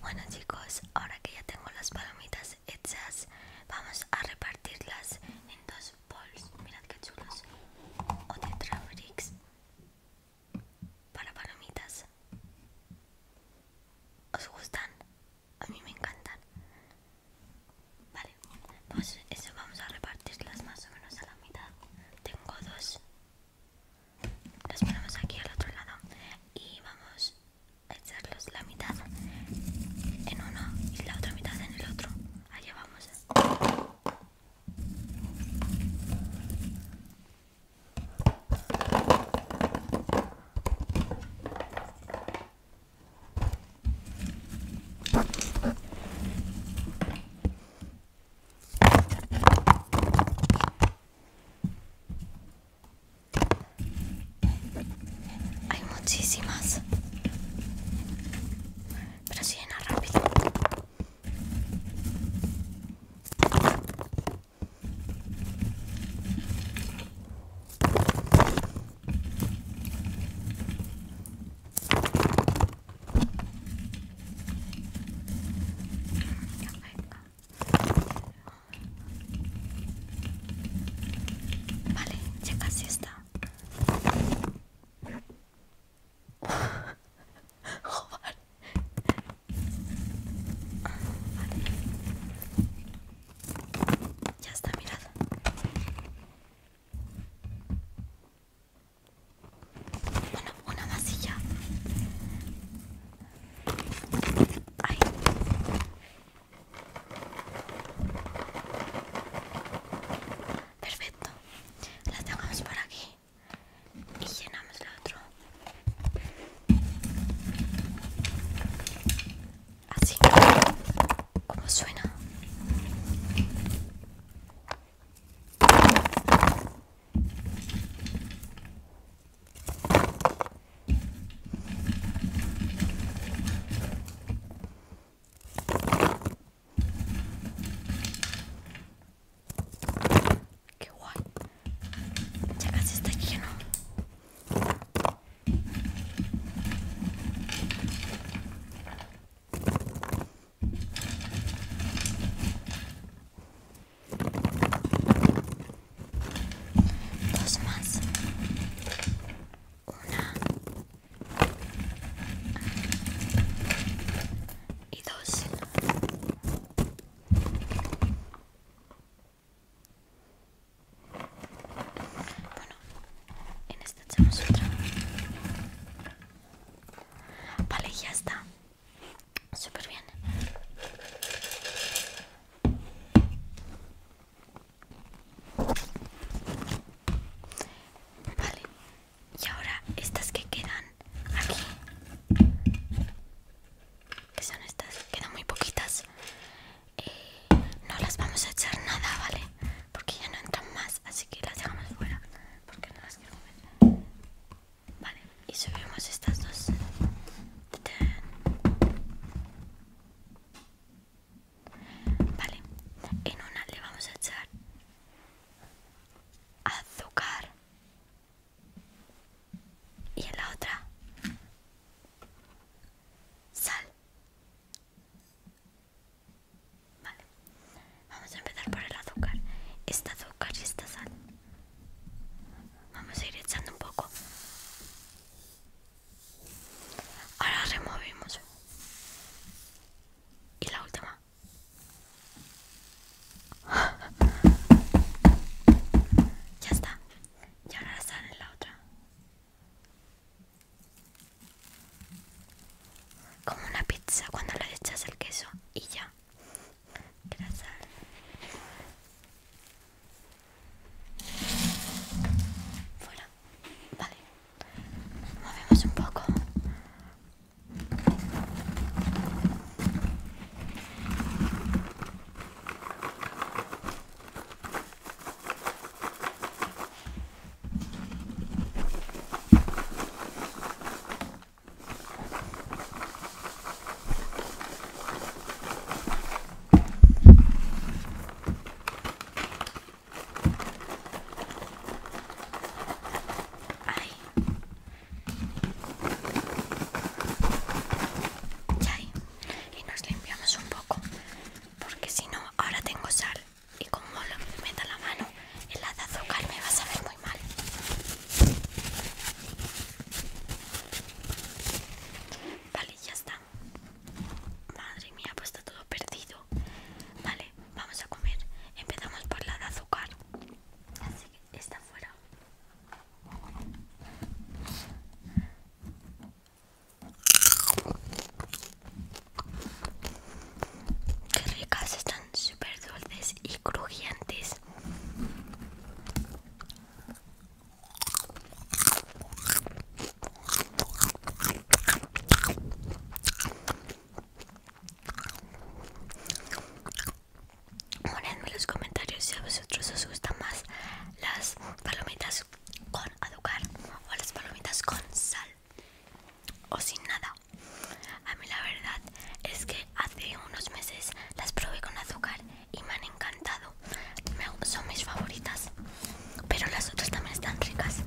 Bueno chicos, ahora que ya tengo las palomitas hechas, vamos a repartirlas en dos bols. Mirad que chulos. O de Traverix para palomitas. ¿Os gustan? A mí me encantan. Vale, pues eso vamos a repartirlas más o menos a la mitad. Tengo dos los ponemos aquí al otro lado y vamos a echarlos la mitad en uno y la otra mitad en el otro. Allá vamos. Hay muchísimas. Pero si llena rápido. Vale, ya casi está. Joder. Vale. Ya está, mirad una masilla Perfecto. La dejamos por aquí y llenamos la otra. Así como suena. Qué guay. Ya casi está lleno. Dos más. Una. Y dos. Bueno, en esta echamos otra. Vale, ya está. Súper bien. Vale. Y ahora estas que quedan aquí. Que son estas, quedan muy poquitas. Eh, no las vamos a echar nada, ¿vale? Porque ya no entran más, así que las dejamos fuera. Porque no Vale, y subimos estas dos. Vale, en una le vamos a echar azúcar y en la otra sal Vale, vamos a empezar por el azúcar. Esta azúcar y esta sal. Vamos a ir echando un poco. Ahora removimos. Y la última. Ya está. Y ahora sale en la otra. Como una pizza cuando le echas el queso y ya. Vale. Movemos un poco y nos limpiamos un poco, porque si no, ahora tengo sal y como lo meta la mano El lado azúcar me va a saber muy mal. Vale, ya está. Madre mía, pues está todo perdido. Vale, vamos a comer. Empezamos por la de azúcar. Así que está fuera. Qué ricas, están súper dulces y crujientes. Ponedme en los comentarios si a vosotros os gustan más las palomitas con azúcar o las palomitas con sal o sin nada. A mí la verdad es que hace unos meses las probé con azúcar y me han encantado. son mis favoritas, pero las otras también están ricas.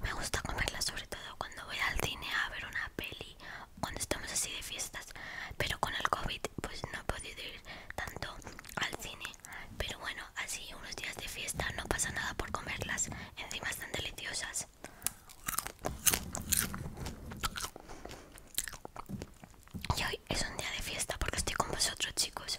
Me gusta comerlas sobre todo cuando voy al cine a ver una peli, cuando estamos así de fiestas. Pero con el COVID pues no he podido ir tanto al cine. Pero bueno, así unos días de fiesta no pasa nada por comerlas. Encima están deliciosas. Y hoy es un día de fiesta porque estoy con vosotros, chicos.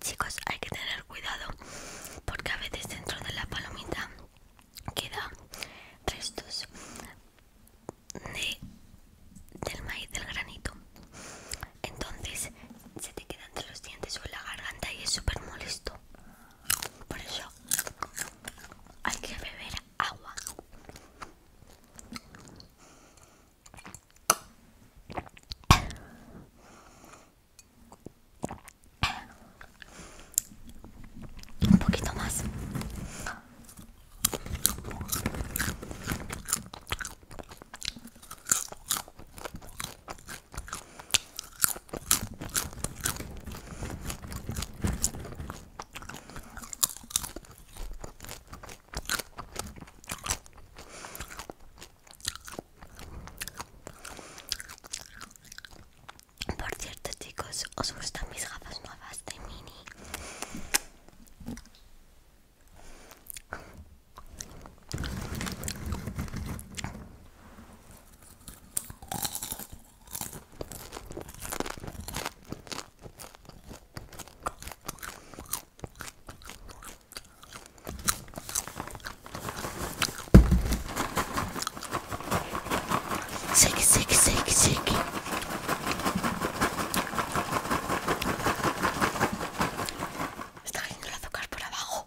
Chicos, hay que tener cuidado porque a veces dentro de la palomita queda restos de, del maíz, del granito. Entonces se te queda entre los dientes o en la garganta y es súper molesto. Por eso hay que beber agua. Un poquito más. Por cierto, chicos, ¿os gustan mis gafas nuevas de mini? ¡Sick! ¡Sick! ¡Sick! ¡Sick! Está cayendo el azúcar por abajo.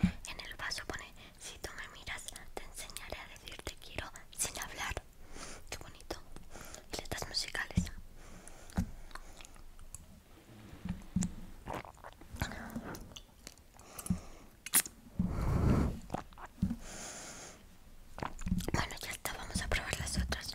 En el vaso pone, si tú me miras, te enseñaré a decirte quiero sin hablar. Qué bonito. Y letras musicales. Bueno, ya está, vamos a probar las otras.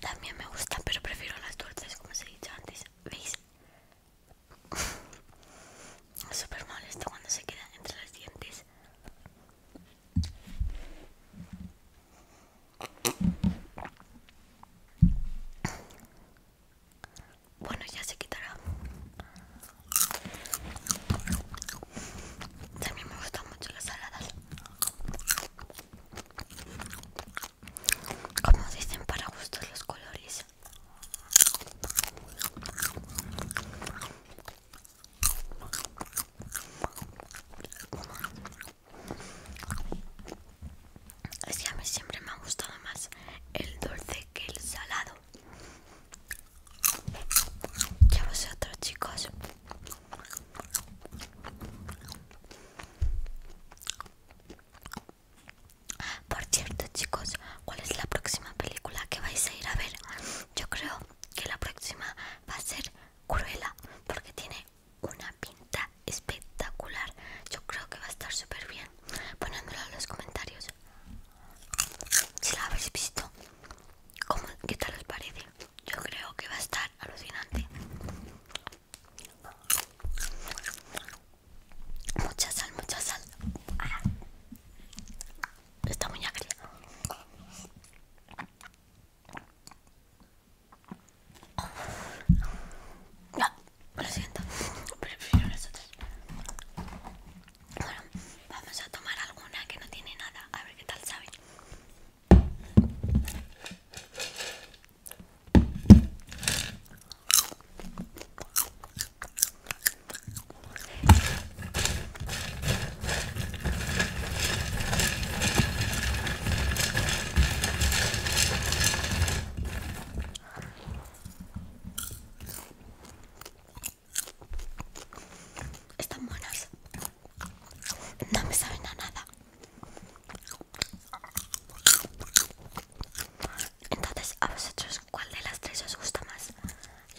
También me gustan, pero prefiero las dulces, como os he dicho antes. ¿Veis? Es súper molesto cuando se quedan entre los dientes. Bueno, ya se quitará. También me gustan mucho las saladas. Como dicen, para gustos los colores. Es que a mí siempre me ha gustado más el dulce que el salado. Ya vosotros chicos Por cierto chicos ¿Cuál es la próxima película que vais a ir a ver? Yo creo que la próxima va a ser Cruella Porque tiene una pinta espectacular Yo creo que va a estar súper bien Ponedmelo en los comentarios Si la habéis visto ¿Cómo, ¿Qué tal les parece? Yo creo que va a estar alucinante. Mucha sal, mucha sal. Ah. Está muy agria. No, ah. lo siento. Prefiero las otras. Bueno, vamos a tomar alguna que no tiene nada, a ver qué tal sabe. Están buenas. No me saben a nada. Entonces, ¿a vosotros cuál de las tres os gusta más?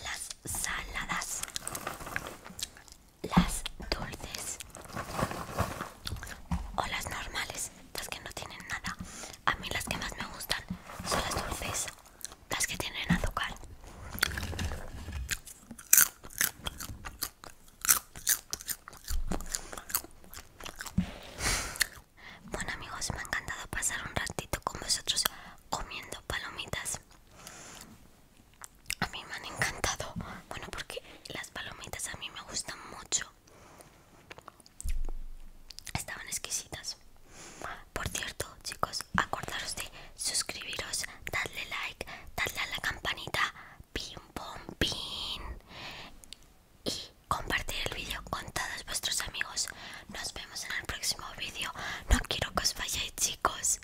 Las saladas, las dulces o las normales, las que no tienen nada. A mí las que más me gustan son las dulces las que tienen azúcar bueno amigos me ha encantado pasar un ratito con vosotros comiendo palomitas a mí me han encantado bueno porque las palomitas a mí me gustan mucho estaban exquisitas por cierto, chicos, acordaros de suscribiros, darle like, darle a la campanita, pim pom y compartir el vídeo con todos vuestros amigos. Nos vemos en el próximo vídeo. No quiero que os vayáis, chicos.